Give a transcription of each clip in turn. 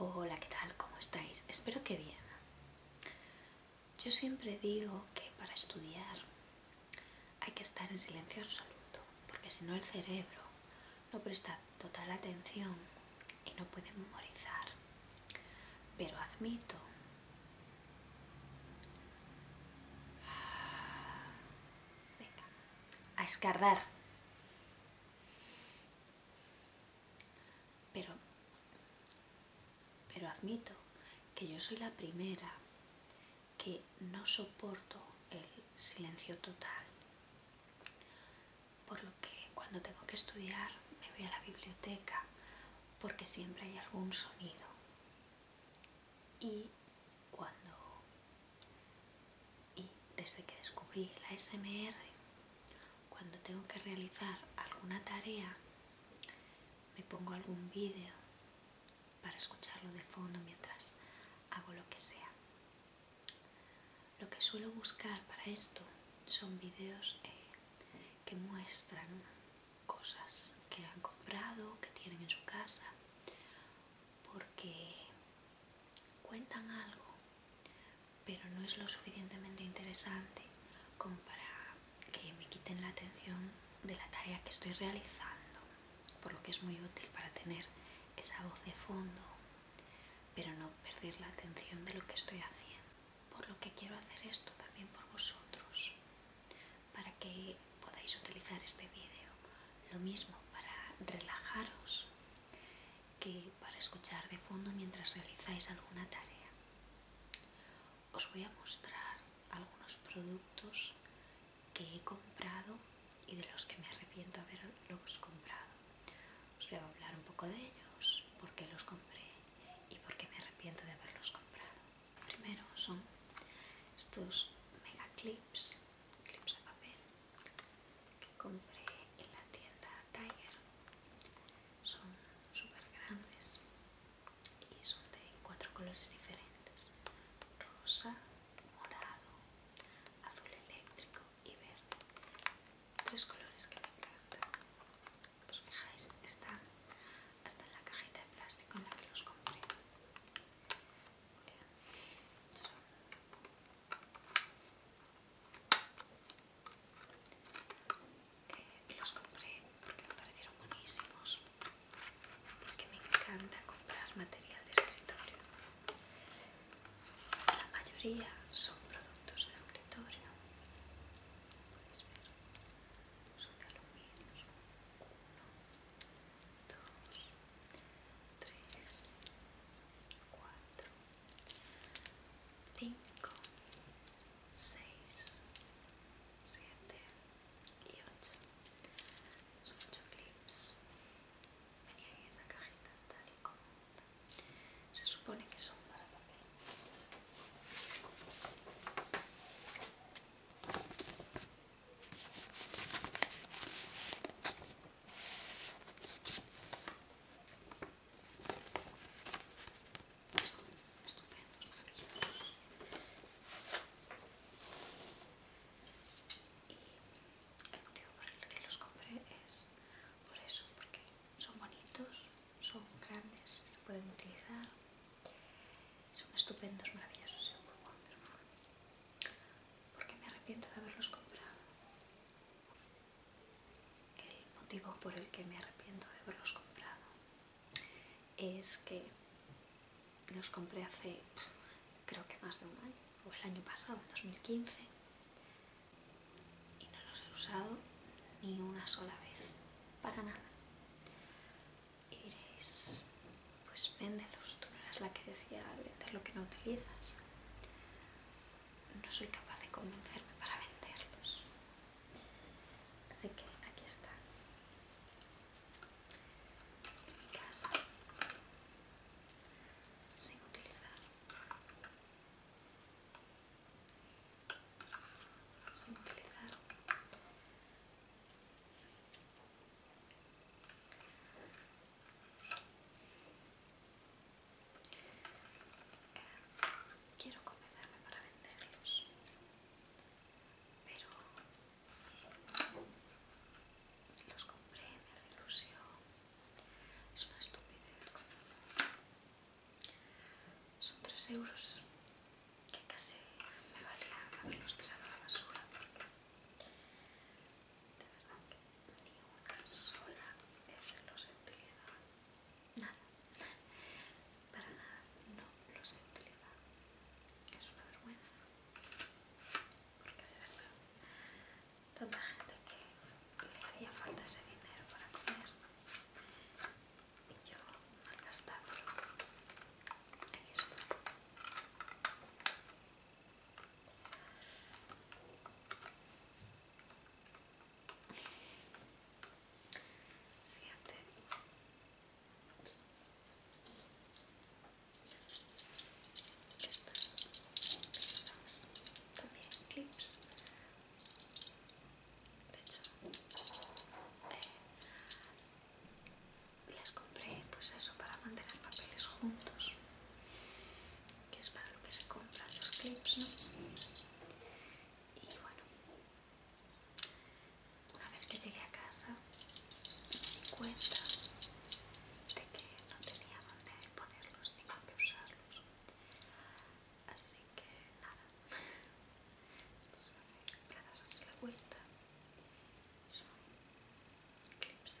Hola, ¿qué tal? ¿Cómo estáis? Espero que bien. Yo siempre digo que para estudiar hay que estar en silencio absoluto, porque si no el cerebro no presta total atención y no puede memorizar. Pero admito a escardar. Pero, pero admito que yo soy la primera que no soporto el silencio total. Por lo que cuando tengo que estudiar me voy a la biblioteca porque siempre hay algún sonido. Y cuando y desde que descubrí la SMR, cuando tengo que realizar alguna tarea, me pongo algún vídeo para escucharlo de fondo mientras hago lo que sea. Lo que suelo buscar para esto son vídeos eh, que muestran cosas que han comprado, que tienen en su casa, porque cuentan algo pero no es lo suficientemente interesante como para que me quiten la atención de la tarea que estoy realizando, por lo que es muy útil para tener esa voz de fondo, pero no perder la atención de lo que estoy haciendo. Por lo que quiero hacer esto también por vosotros, para que podáis utilizar este vídeo. Lo mismo para relajaros que para escuchar de fondo mientras realizáis alguna tarea. Os voy a mostrar algunos productos que he comprado y de los que me arrepiento haberlos comprado. Os voy a hablar un poco de ellos, por qué los compré y por qué me arrepiento de haberlos comprado. Primero son estos mega clips, clips a papel que compré en la tienda Tiger son súper grandes y son de cuatro colores diferentes rosa, morado, azul eléctrico y verde tres colores que me encantan os fijáis, están hasta en la cajita de plástico en la que los compré eh, los compré porque me parecieron buenísimos, porque me encanta comprar material de escritorio. La mayoría son productos de escritorio, de Uno, dos, tres, cuatro. 5, 6, 7 y 8. Son 8 clips. Venía en esa cajita tal y como se supone que son para papel. Son estupendos, maravillosos. Y el motivo por el que los compré es por eso, porque son bonitos, son grandes, se pueden utilizar. Son estupendos, maravillosos muy wonderful. Porque me arrepiento de haberlos comprado. El motivo por el que me arrepiento de haberlos comprado es que los compré hace creo que más de un año, o el año pasado, en 2015, y no los he usado ni una sola vez, para nada. Y diréis, pues véndelos, tú no eras la que decía vender lo que no utilizas no soy capaz de convencerme para venderlos. Así que aquí está. Mi casa. Sin utilizar. Sin utilizar quiero convencerme para venderlos, pero los compré, me hace ilusión. Es una estupidez. Son 3 euros que casi me valía haberlos tirado a la basura porque de verdad que ni una sola vez los he utilizado, nada, para nada, no los he utilizado, es una vergüenza, porque de verdad, tanta gente que le haría falta ese dinero para comer y yo malgastándolo, aquí está. Siete. Estas también clips. De hecho, las compré pues eso para mantener papeles juntos que es para lo que se compran los clips, ¿no? Y bueno, una vez que llegué a casa me di cuenta de que no tenía dónde ponerlos ni con qué usarlos. Así que nada. Entonces me voy a la vuelta. Son clips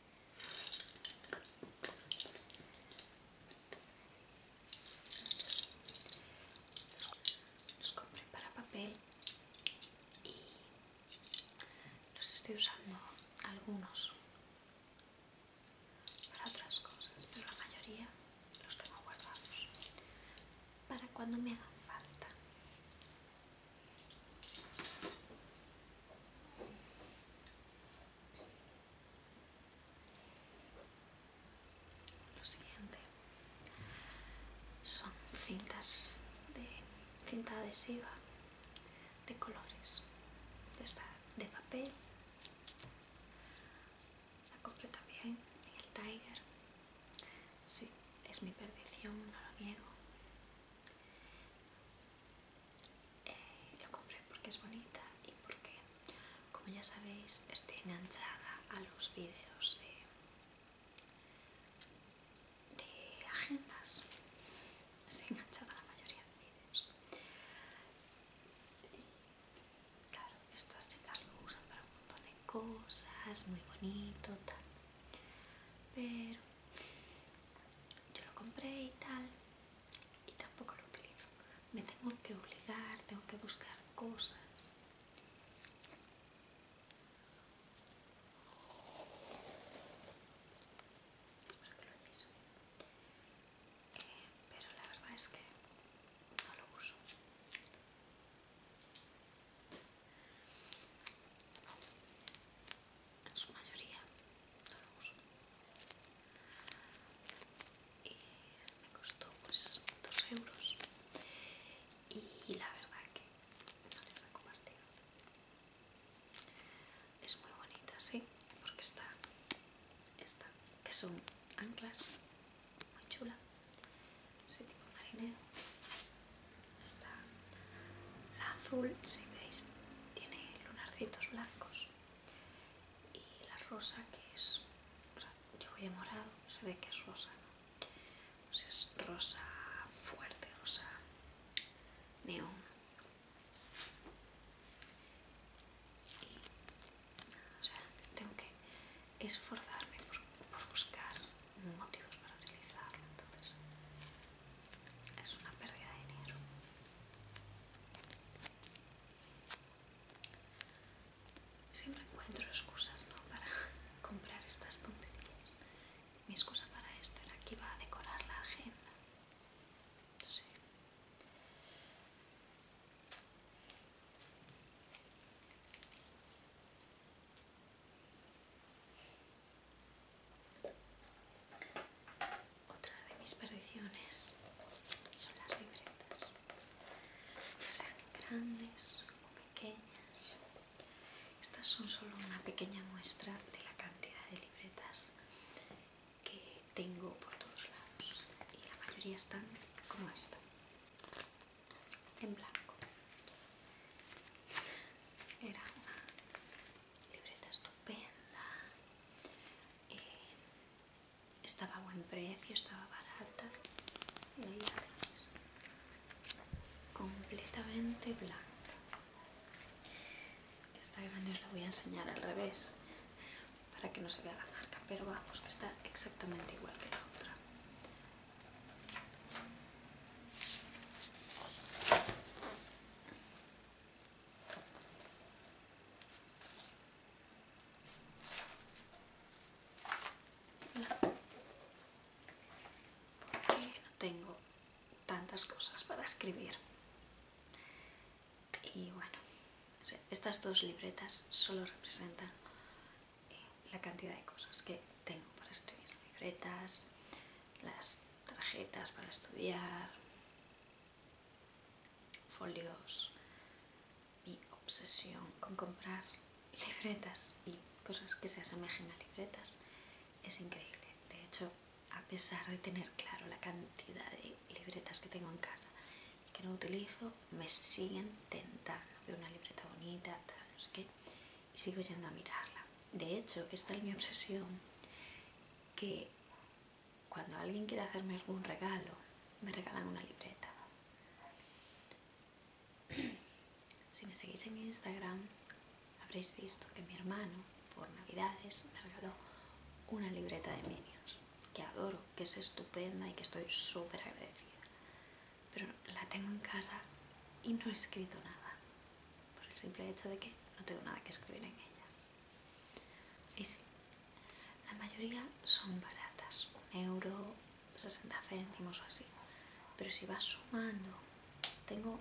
Los compré para papel y los estoy usando algunos para otras cosas, pero la mayoría los tengo guardados para cuando me hagan falta. Lo siguiente son cintas de cinta adhesiva de colores. esta de papel. La compré también en el Tiger. Sí, es mi perdición, no lo niego. Eh, lo compré porque es bonita y porque, como ya sabéis, estoy enganchada a los vídeos de, agendas. Estoy enganchada a la mayoría de vídeos. Claro, estas chicas lo usan para un montón de cosas, muy bonito, tal. Pero yo lo compré y tal y tampoco lo utilizo me tengo que obligar tengo que buscar cosas espero que lo eh, pero la verdad es que no lo uso en su mayoría no lo uso y me costó pues 2 euros y la verdad que no les he compartido. es muy bonita sí porque está esta que son anclas muy chula ese tipo marinero está la azul si veis tiene lunarcitos blancos y la rosa que es, o sea, yo voy de morado, se ve que es rosa, ¿no? pues es rosa fuerte, rosa neón. Y, o sea, tengo que esforzarme por, buscar motivos para utilizarlo, entonces es una pérdida de dinero siempre encuentro excusas para comprar estas tonterías mi excusa para esto era que iba a decorar la agenda otra de mis perdiciones son las libretas, ya sean grandes o pequeñas. Estas son solo una pequeña muestra de la cantidad de libretas que tengo por todos lados y la mayoría están como esta, en blanco. Era una libreta estupenda. Eh, estaba a buen precio, estaba barata. Y ahí la veis, Completamente blanca. Esta grande os la voy a enseñar al revés para que no se vea la marca, pero vamos, que está exactamente igual que la otra. Porque no tengo tantas cosas para escribir. Y bueno, estas dos libretas solo representan eh, la cantidad de cosas que tengo para escribir. Libretas, las tarjetas para estudiar, folios, mi obsesión con comprar libretas y cosas que se asemejen a libretas es increíble. De hecho, a pesar de tener claro la cantidad de libretas que tengo en casa y que no utilizo, me siguen tentando. Veo una libreta bonita, tal, no sé qué, y sigo yendo a mirarla. De hecho, esta es mi obsesión que cuando alguien quiere hacerme algún regalo, me regalan una libreta. Si me seguís en Instagram, habréis visto que mi hermano, por Navidades, me regaló una libreta de Minions, que adoro, que es estupenda y que estoy súper agradecida. Pero la tengo en casa y no he escrito nada por el simple hecho de que no tengo nada que escribir en ella. Y sí, la mayoría son baratas, un euro, 60 céntimos o así. Pero si vas sumando, tengo,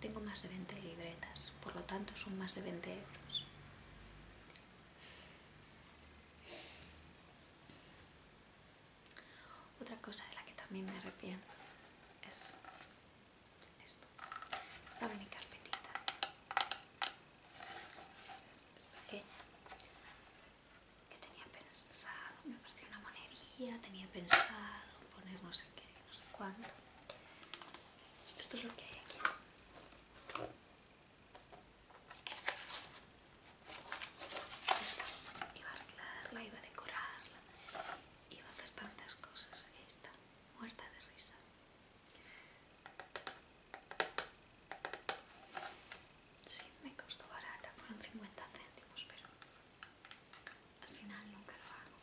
tengo más de 20 libretas, por lo tanto son más de 20 euros. Otra cosa de la que también me arrepiento es esto. Esta mini carpetita. Es pequeña. Que tenía pensado, me pareció una monería, tenía pensado poner no sé qué, no sé cuánto. Esto es lo que hay aquí. Esta iba a arreglarla, iba a decorarla, iba a hacer tantas cosas. está, muerta de risa. Sí, me costó barata, fueron 50 céntimos, pero al final nunca lo hago.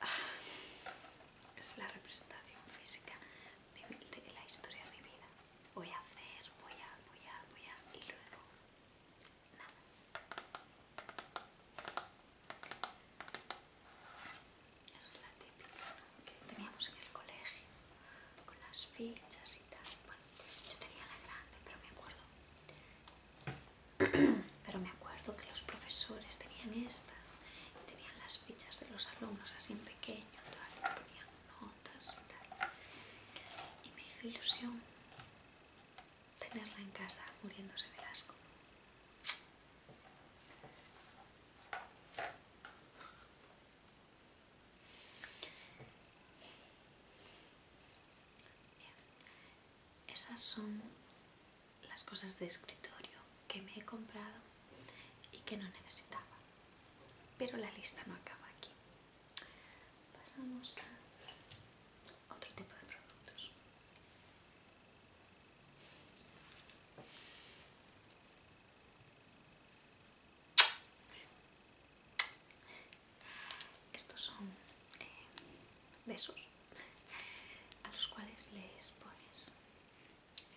Ah, es la representación física de la historia de mi vida. Voy a hacer, voy a, voy a, voy a, y luego Nada. Esa es la típica que teníamos en el colegio, con las fichas y tal. Bueno, yo tenía la grande, pero me acuerdo. Pero me acuerdo que los profesores tenían estas, tenían las fichas de los alumnos así en pequeño, y ponían notas y tal. Y me hizo ilusión tenerla en casa muriéndose de asco. Bien. Esas son las cosas de escritorio que me he comprado y que no necesitaba. Pero la lista no acaba aquí. Pasamos a otro tipo de productos. Estos son eh, besos a los cuales les pones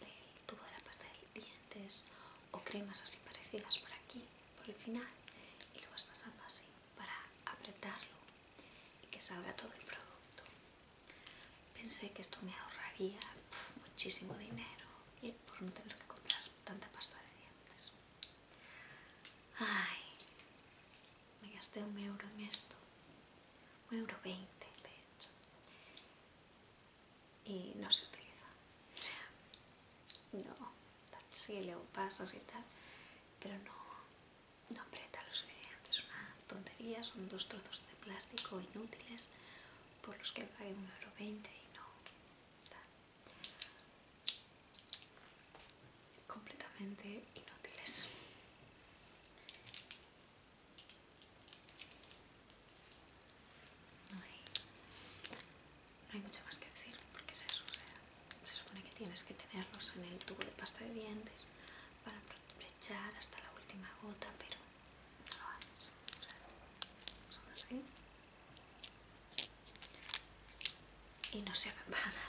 el tubo de la pasta de dientes o cremas así parecidas por aquí por el final y lo vas pasando así para apretarlo y que salga todo el producto. Pensé que esto me ahorraría muchísimo dinero y por no tener que comprar tanta pasta de dientes. Ay, me gasté un euro en esto, un euro veinte de hecho, y no se utiliza no, sigue sí, leo pasos y tal, pero no, no aprieta los suficiente, es una tontería, son dos trozos de plástico inútiles por los que pague 1,20€ y no, completamente inútiles. No hay mucho más que decir porque se supone que tienes que tenerlos en el tubo de pasta de dientes para aprovechar hasta la última gota, pero no lo haces, o sea, son así y no se para nada,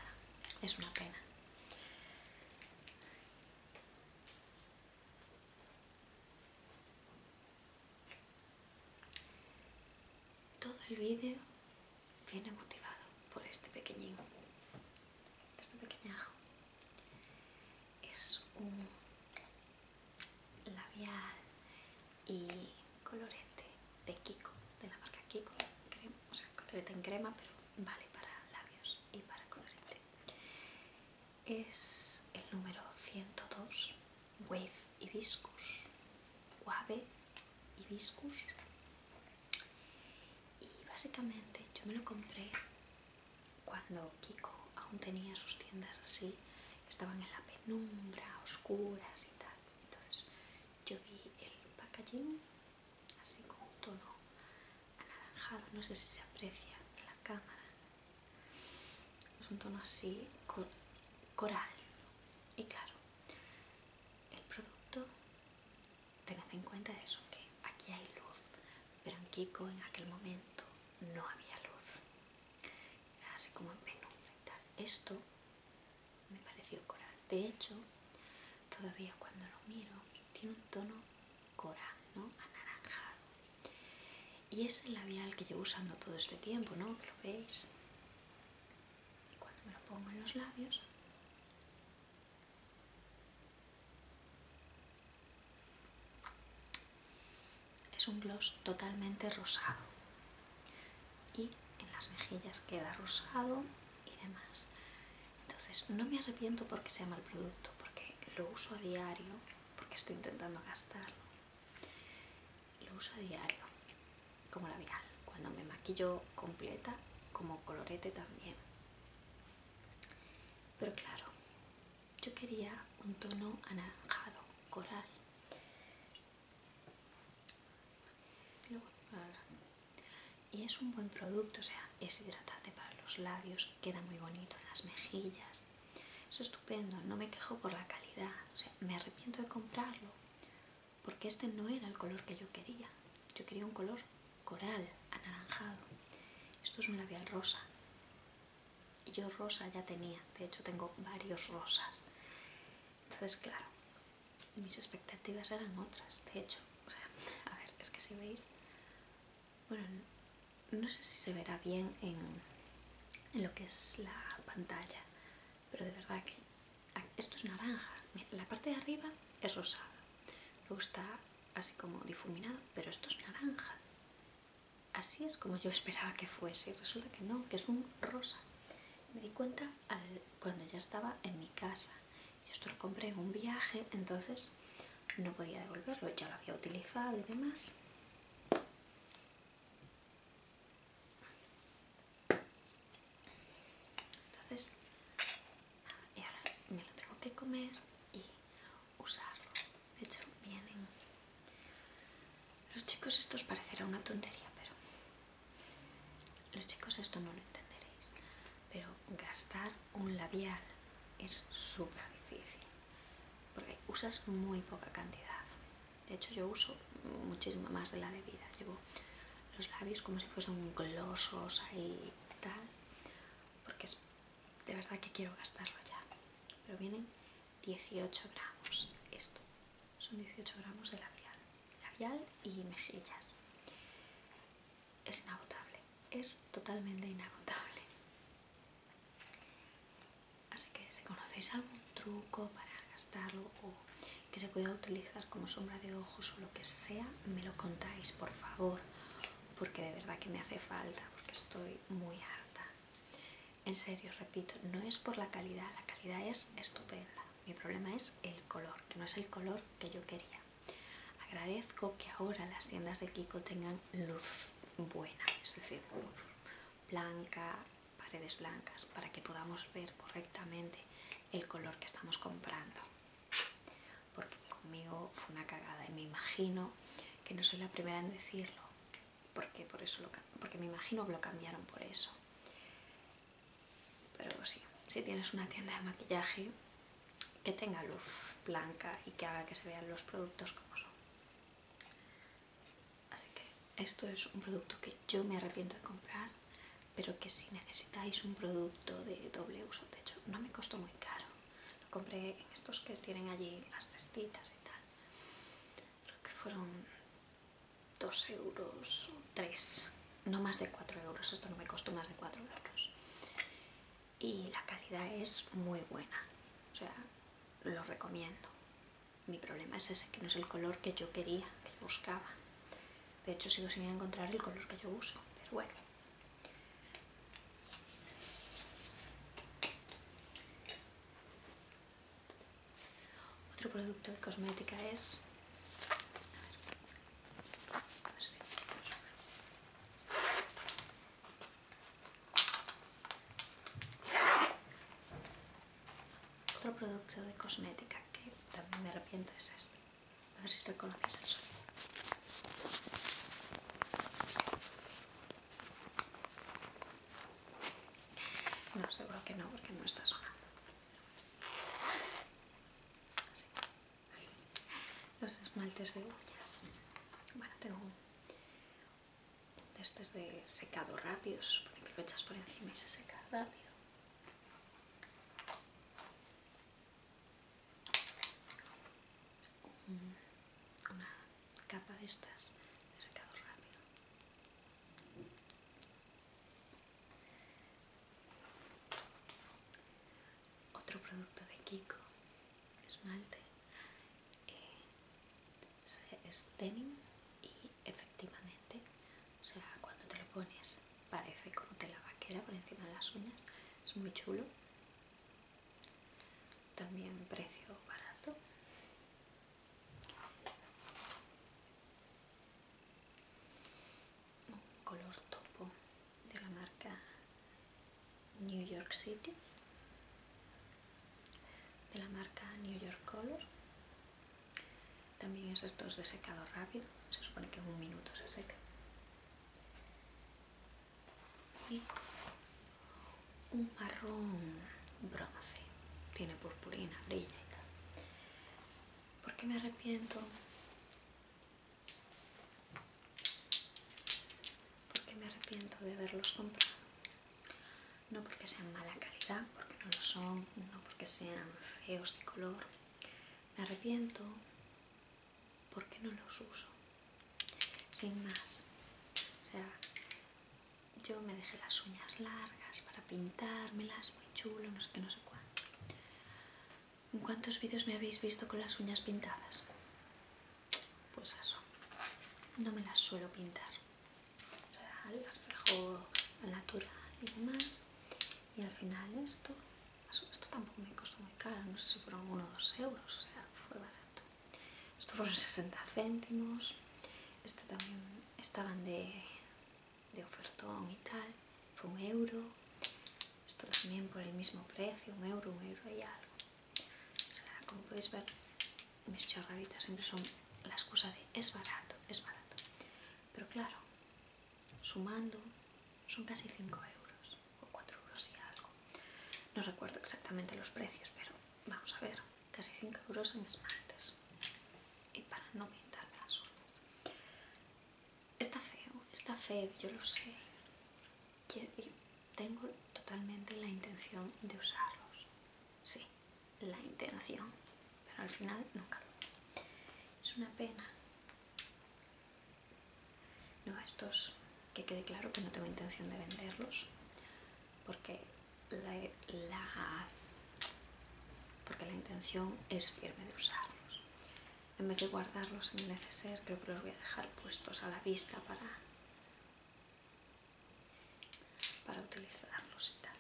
es una pena. Todo el vídeo viene motivado por este pequeñín, este pequeñajo. Es un labial y colorete de Kiko, de la marca Kiko, o sea, colorete en crema, pero vale para labios y para colorete. Es el número 102 Wave Hibiscus, Wave Hibiscus. Y básicamente yo me lo compré cuando Kiko aún tenía sus tiendas así, estaban en la penumbra, oscuras y tal. Entonces yo vi el packaging así con un tono anaranjado, no sé si se aprecia en la cámara. Es un tono así coral, y claro, el producto, tened en cuenta eso, que aquí hay luz, pero en Kiko en aquel momento no había luz. así como en penumbra Esto me pareció coral. De hecho, todavía cuando lo miro, tiene un tono coral, ¿no? Anaranjado. Y es el labial que llevo usando todo este tiempo, ¿no? Que lo veis. Y cuando me lo pongo en los labios, es un gloss totalmente rosado. Y en las mejillas queda rosado y demás. Entonces, no me arrepiento porque sea mal producto, porque lo uso a diario, porque estoy intentando gastarlo lo uso a diario, como labial, cuando me maquillo completa, como colorete también. Pero claro, yo quería un tono anaranjado, coral. Y es un buen producto, o sea, es hidratante para los labios, queda muy bonito en las mejillas es estupendo, no me quejo por la calidad, o sea, me arrepiento de comprarlo, porque este no era el color que yo quería. Yo quería un color coral, anaranjado. Esto es un labial rosa. Y yo rosa ya tenía, de hecho tengo varios rosas. Entonces, claro, mis expectativas eran otras, de hecho. O sea, a ver, es que si veis, bueno, no sé si se verá bien en lo que es la pantalla, pero de verdad que esto es naranja, la parte de arriba es rosada, luego está así como difuminado, pero esto es naranja. Así es como yo esperaba que fuese y resulta que no, que es un rosa. Me di cuenta al, cuando ya estaba en mi casa. Y esto lo compré en un viaje, entonces no podía devolverlo, ya lo había utilizado y demás. Entonces, y ahora me lo tengo que comer y usarlo. De hecho, vienen... Los chicos esto os parecerá una tontería, pero... Los chicos esto no lo entenderéis, pero gastar un labial es súper difícil, porque usas muy poca cantidad. De hecho yo uso muchísimo más de la debida. Llevo los labios como si fuesen glosos ahí y tal. Porque de verdad que quiero gastarlo ya. Pero vienen 18 gramos. Esto son 18 gramos de labial. Labial y mejillas. Es inagotable. Es totalmente inagotable. Así que si conocéis algún truco para gastarlo o que se pueda utilizar como sombra de ojos o lo que sea, me lo contáis, por favor, porque de verdad que me hace falta, porque estoy muy harta. En serio, repito, no es por la calidad, la calidad es estupenda. Mi problema es el color, que no es el color que yo quería. Agradezco que ahora las tiendas de Kiko tengan luz buena, es decir, blanca, paredes blancas para que podamos ver correctamente el color que estamos comprando porque conmigo fue una cagada y me imagino que no soy la primera en decirlo porque por eso lo, porque me imagino que lo cambiaron por eso pero sí si tienes una tienda de maquillaje que tenga luz blanca y que haga que se vean los productos como son Así que esto es un producto que yo me arrepiento de comprar, pero que si necesitáis un producto de doble uso, de hecho no me costó muy caro. Lo compré en estos que tienen allí las cestitas y tal. Creo que fueron 2 euros o 3, no más de 4 euros. Esto no me costó más de 4 euros. Y la calidad es muy buena, o sea, lo recomiendo. Mi problema es ese, que no es el color que yo quería, que buscaba. De hecho, sigo sin encontrar el color que yo uso, pero bueno. Otro producto de cosmética es... Otro producto de cosmética que también me arrepiento es este. A ver si reconoces el sonido. No, seguro que no, porque no está sonando. Los esmaltes de uñas. Bueno, tengo este es de secado rápido, se supone que lo echas por encima y se seca rápido. Mm, una capa de estas de secado rápido. Otro producto de Kiko, esmalte. Eh, es denim y efectivamente, o sea, cuando te lo pones parece como tela vaquera por encima de las uñas, es muy chulo. También precio barato. Un color topo de la marca New York City de la marca New York Color. También es estos de secado rápido, se supone que en un minuto se seca. Y un marrón bronce, tiene purpurina, brilla y tal. ¿Por me arrepiento? Porque me arrepiento de haberlos comprado no porque sean mala calidad, porque no lo son, no porque sean feos de color. Me arrepiento porque no los uso. Sin más. O sea, yo me dejé las uñas largas para pintármelas, muy chulo, no sé qué, no sé cuánto. ¿En cuántos vídeos me habéis visto con las uñas pintadas? pues eso no me las suelo pintar o sea, las dejo al natural y demás y al final esto esto tampoco me costó muy caro no sé si fueron 1 o 2 euros o sea fue barato esto fueron 60 céntimos este también estaban de, de ofertón y tal fue un euro esto también por el mismo precio un euro un euro y algo como podéis ver, mis chorraditas siempre son la excusa de es barato, es barato. Pero claro, sumando son casi 5 euros o 4 euros y algo. No recuerdo exactamente los precios, pero vamos a ver, casi 5 euros en esmaltes. Y para no pintarme las uñas. Está feo, está feo, yo lo sé tengo totalmente la intención de usarlos. Sí, la intención. Pero al final nunca. Es una pena. No, estos que quede claro que no tengo intención de venderlos. Porque la, porque la intención es firme de usarlos. En vez de guardarlos en el neceser, creo que los voy a dejar puestos a la vista para para utilizarlos y tal.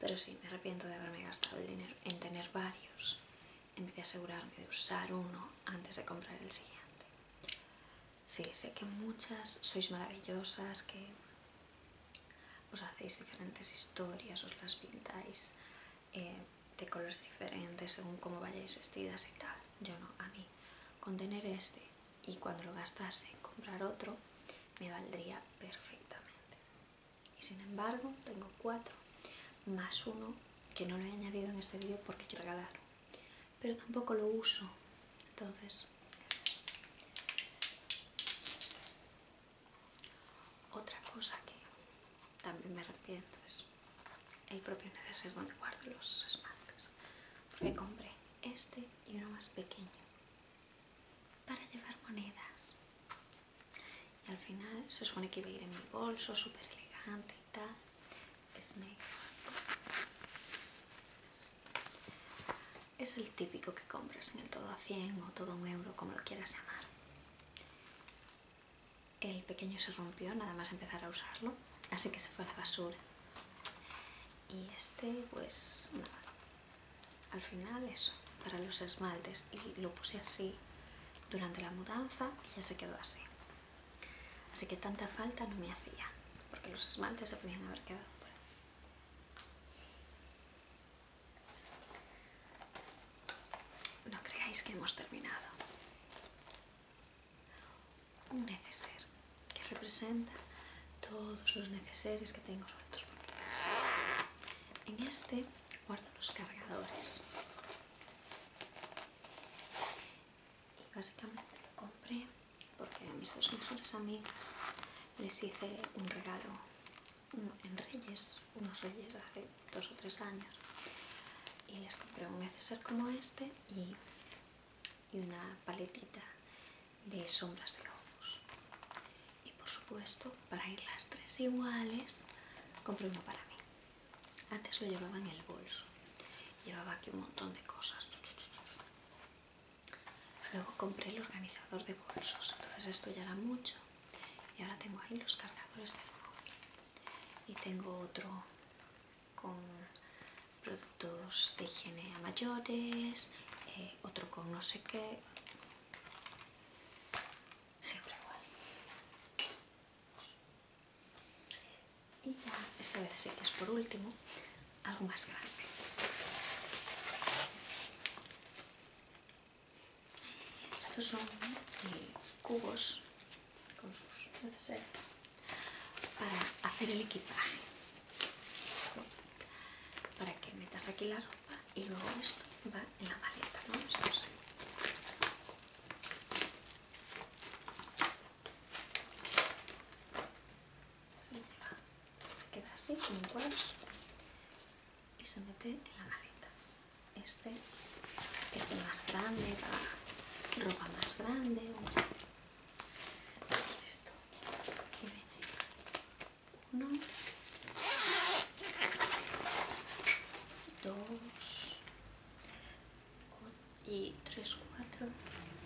Pero sí, me arrepiento de haberme gastado el dinero en tener varios en vez de asegurarme de usar uno antes de comprar el siguiente. Sí, sé que muchas sois maravillosas, que os hacéis diferentes historias, os las pintáis eh, de colores diferentes según cómo vayáis vestidas y tal. Yo no, a mí, con tener este y cuando lo gastase comprar otro me valdría perfectamente. Y sin embargo tengo cuatro más uno que no lo he añadido en este vídeo porque yo regalaron, pero tampoco lo uso, entonces... Otra cosa que también me arrepiento es el propio neceser donde guardo los esmaltes porque compré este y uno más pequeño para llevar monedas. Y al final se supone que iba a ir en mi bolso, súper elegante y tal. Es negro. Es, el típico que compras en el todo a 100 o todo a un euro, como lo quieras llamar. El pequeño se rompió nada más empezar a usarlo, así que se fue a la basura y este pues nada al final eso para los esmaltes y lo puse así durante la mudanza y ya se quedó así así que tanta falta no me hacía porque los esmaltes se podían haber quedado No creáis que hemos terminado un neceser que representa todos los neceseres que tengo sobre por mi En este guardo los cargadores. Y básicamente lo compré porque a mis dos mejores amigas les hice un regalo en Reyes, unos Reyes hace dos o tres años. Y les compré un neceser como este y y una paletita de sombras de ojos. Y por supuesto, para ir las tres iguales, compré uno para mí. Antes lo llevaba en el bolso. Llevaba aquí un montón de cosas. Luego compré el organizador de bolsos, entonces esto ya era mucho. Y ahora tengo ahí los cargadores del móvil. Y tengo otro con productos de higiene a mayores, eh, otro con no sé qué, siempre igual. Y ya, esta vez sí que es por último, algo más grande. Estos son eh, cubos con sus para hacer el equipaje para que metas aquí la ropa y luego esto va en la maleta ¿no? esto se se queda así como un y se mete en la maleta este este más grande para ropa más grande 1, 2, 3, 4,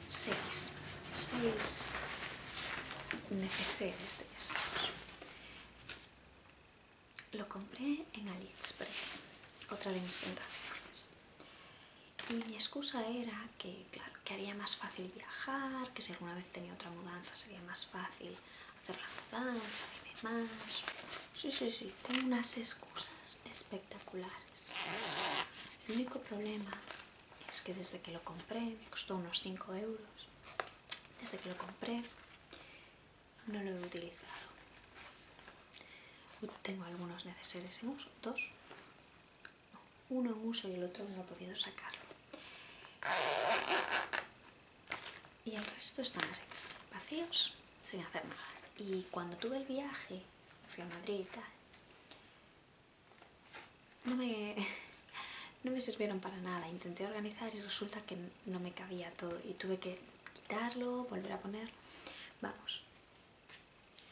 6. 6 necesidades de estas. Lo compré en AliExpress, otra de mis tiendas. Y mi excusa era que, claro, que haría más fácil viajar, que si alguna vez tenía otra mudanza sería más fácil hacer la mudanza y demás. Sí, sí, sí, tengo unas excusas espectaculares. El único problema es que desde que lo compré, me costó unos 5 euros, desde que lo compré no lo he utilizado. Tengo algunos neceseres en uso, dos, uno en uso y el otro no he podido sacarlo. Y el resto están así, vacíos, sin hacer nada. Y cuando tuve el viaje, fui a Madrid y tal, no me, no me sirvieron para nada. Intenté organizar y resulta que no me cabía todo y tuve que quitarlo, volver a poner. Vamos,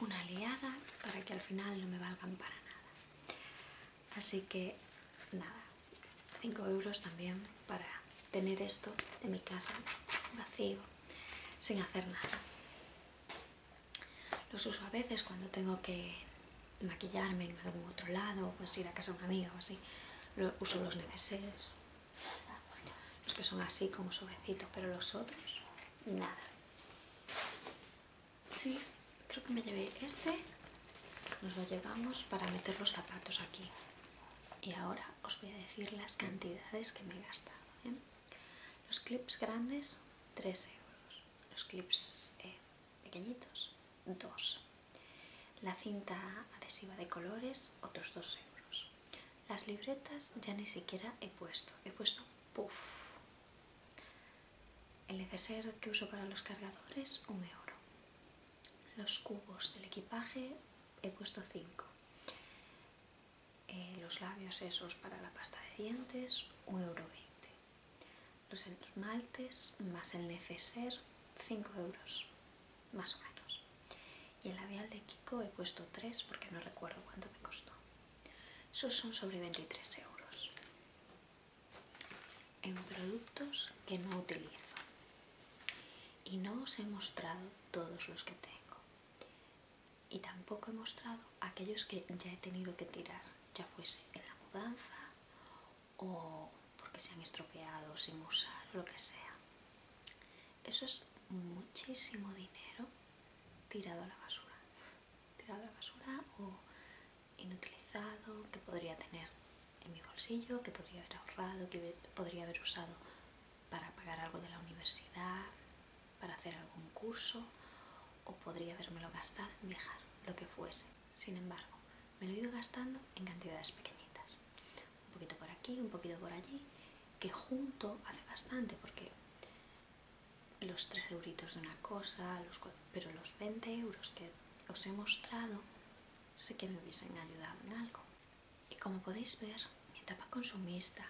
una aliada para que al final no me valgan para nada. Así que nada, 5 euros también para tener esto de mi casa vacío, sin hacer nada. Los uso a veces cuando tengo que maquillarme en algún otro lado, pues ir a casa de una amiga o así. Lo, uso los neceseres, los que son así como sobrecitos, pero los otros, nada. Sí, creo que me llevé este. Nos lo llevamos para meter los zapatos aquí. Y ahora os voy a decir las cantidades que me he gastado. ¿eh? Los clips grandes, 3 euros. Los clips eh, pequeñitos, 2. La cinta adhesiva de colores, otros 2 euros. Las libretas ya ni siquiera he puesto, he puesto puff. El neceser que uso para los cargadores, un euro. Los cubos del equipaje he puesto 5. Eh, los labios esos para la pasta de dientes, un euro. Los esmaltes más el neceser, 5 euros, más o menos. Y el labial de Kiko he puesto tres porque no recuerdo cuánto me costó. Esos son sobre 23 euros. En productos que no utilizo. Y no os he mostrado todos los que tengo. Y tampoco he mostrado aquellos que ya he tenido que tirar, ya fuese en la mudanza o porque se han estropeado sin usar o lo que sea. Eso es muchísimo dinero tirado a la basura. Tirado a la basura o inutilizado que podría tener en mi bolsillo, que podría haber ahorrado, que podría haber usado para pagar algo de la universidad, para hacer algún curso o podría habérmelo gastado en viajar, lo que fuese. Sin embargo, me lo he ido gastando en cantidades pequeñitas un poquito por aquí, un poquito por allí, que junto hace bastante porque los 3 euritos de una cosa, pero los 20 euros que os he mostrado sé que me hubiesen ayudado en algo. Y como podéis ver, mi etapa consumista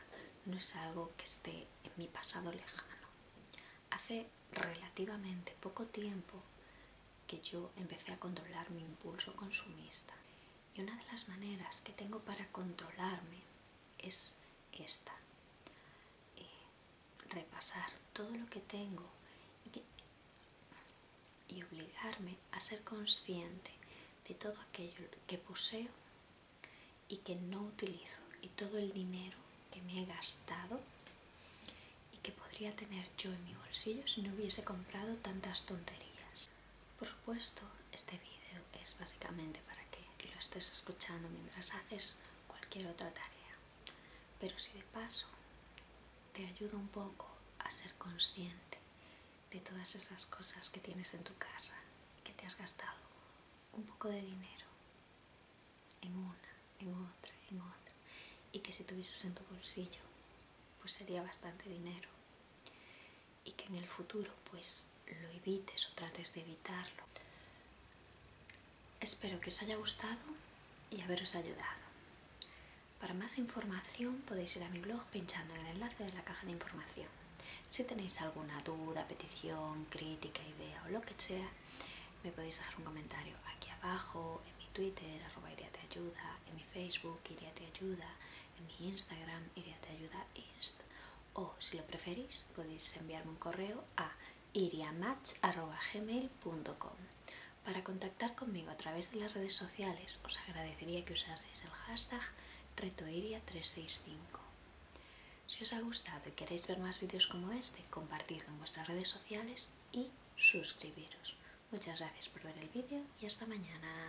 no es algo que esté en mi pasado lejano. Hace relativamente poco tiempo que yo empecé a controlar mi impulso consumista y una de las maneras que tengo para controlarme es esta. Eh, repasar todo lo que tengo y obligarme a ser consciente de todo aquello que poseo y que no utilizo y todo el dinero que me he gastado y que podría tener yo en mi bolsillo si no hubiese comprado tantas tonterías. Por supuesto, este vídeo es básicamente para que lo estés escuchando mientras haces cualquier otra tarea. Pero si de paso te ayuda un poco a ser consciente de todas esas cosas que tienes en tu casa que te has gastado un poco de dinero en una, en otra, en otra, y que si tuvieses en tu bolsillo, pues sería bastante dinero y que en el futuro pues lo evites o trates de evitarlo. Espero que os haya gustado y haberos ayudado. Para más información podéis ir a mi blog pinchando en el enlace de la caja de información. Si tenéis alguna duda, petición, crítica, idea o lo que sea, me podéis dejar un comentario aquí abajo, en mi Twitter, arroba en mi Facebook, IriaTeAyuda Te Ayuda, en mi Instagram ayuda iriateayudainst. O si lo preferís, podéis enviarme un correo a iriamatch.gmail.com. Para contactar conmigo a través de las redes sociales, os agradecería que usaseis el hashtag retoiria365. Si os ha gustado y queréis ver más vídeos como este, compartidlo en vuestras redes sociales y suscribiros. Muchas gracias por ver el vídeo y hasta mañana.